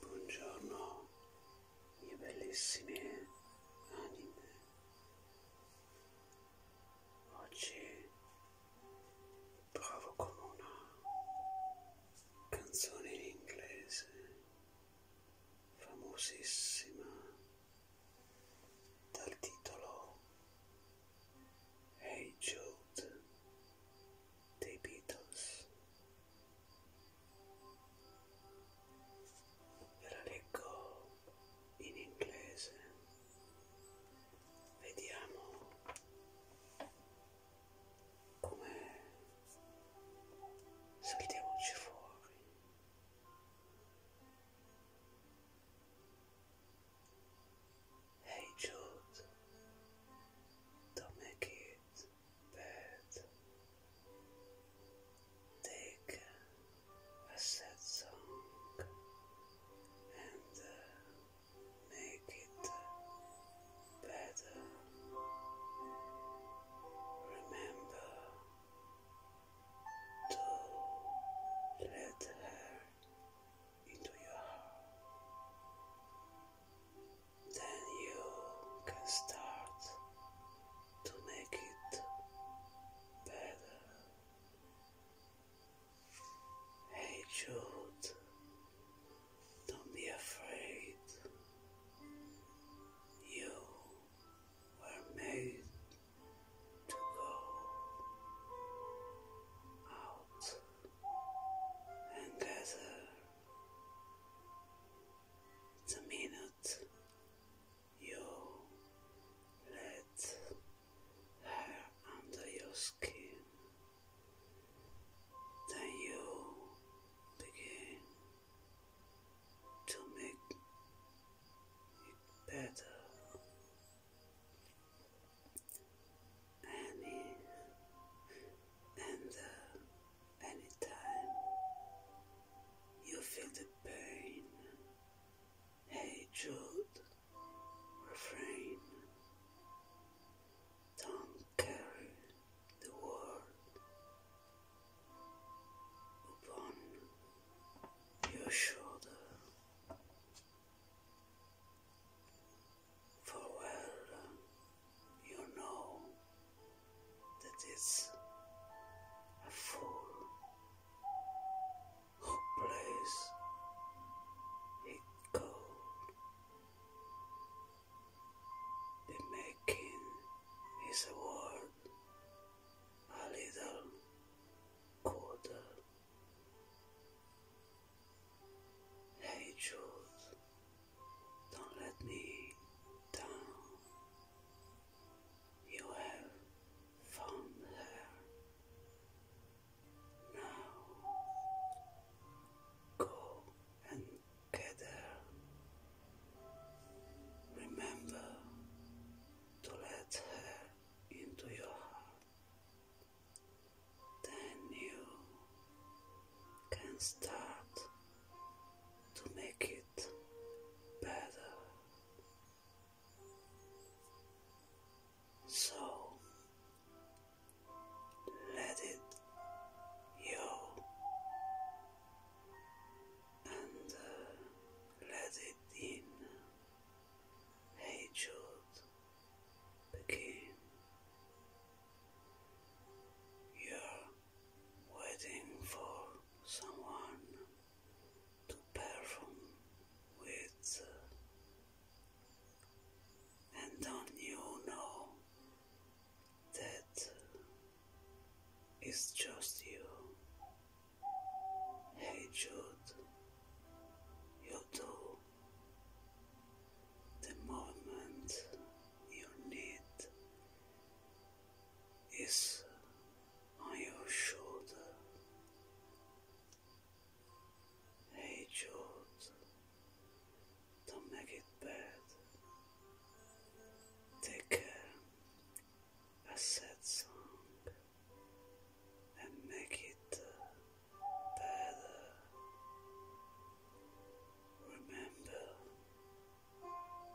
Buongiorno, mie bellissime anime. Oggi provo con una canzone in inglese famosissima dal titolo Hey Jude dei Beatles. Ve la leggo in inglese. Vediamo come saltiamoci fuori. Hey Jude, don't make it bad. Take a sad song and uh, make it better. Remember to let her into your heart. Then you can start to make it better. Hey Jude, don't be afraid. You were made to go out and gather the minute you let her under your skin. Then you begin to make it better. Any and anytime you feel the pain, hey Jude, refrain. Don't carry the world upon your shoulder. For well you know that it's a fool who plays it cold the making is a world a little colder. Hey Jude, don't let me down. You have found her. Now go and together. Remember to let her into your heart. Then you can start to make it better. So let it go and uh, let it in. Hatred begin. You're waiting for someone to perform with uh, and don't you know that it's just you? Hey Jude, you do the moment you need is on your shoulder. Hey Jude, don't make it bad. Take care. A sad song and make it uh, better. Remember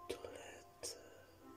to let uh,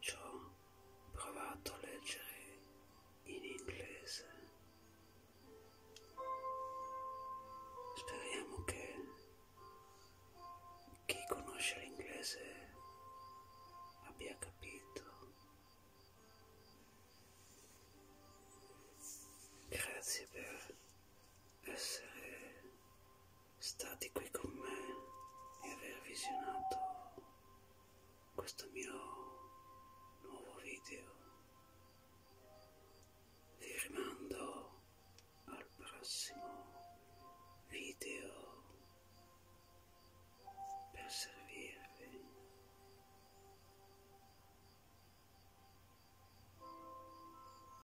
ci ho provato a leggere in inglese. Speriamo che chi conosce l'inglese abbia capito. Grazie per essere stati qui con me e aver visionato questo mio nuovo video. Vi rimando al prossimo video per servirvi.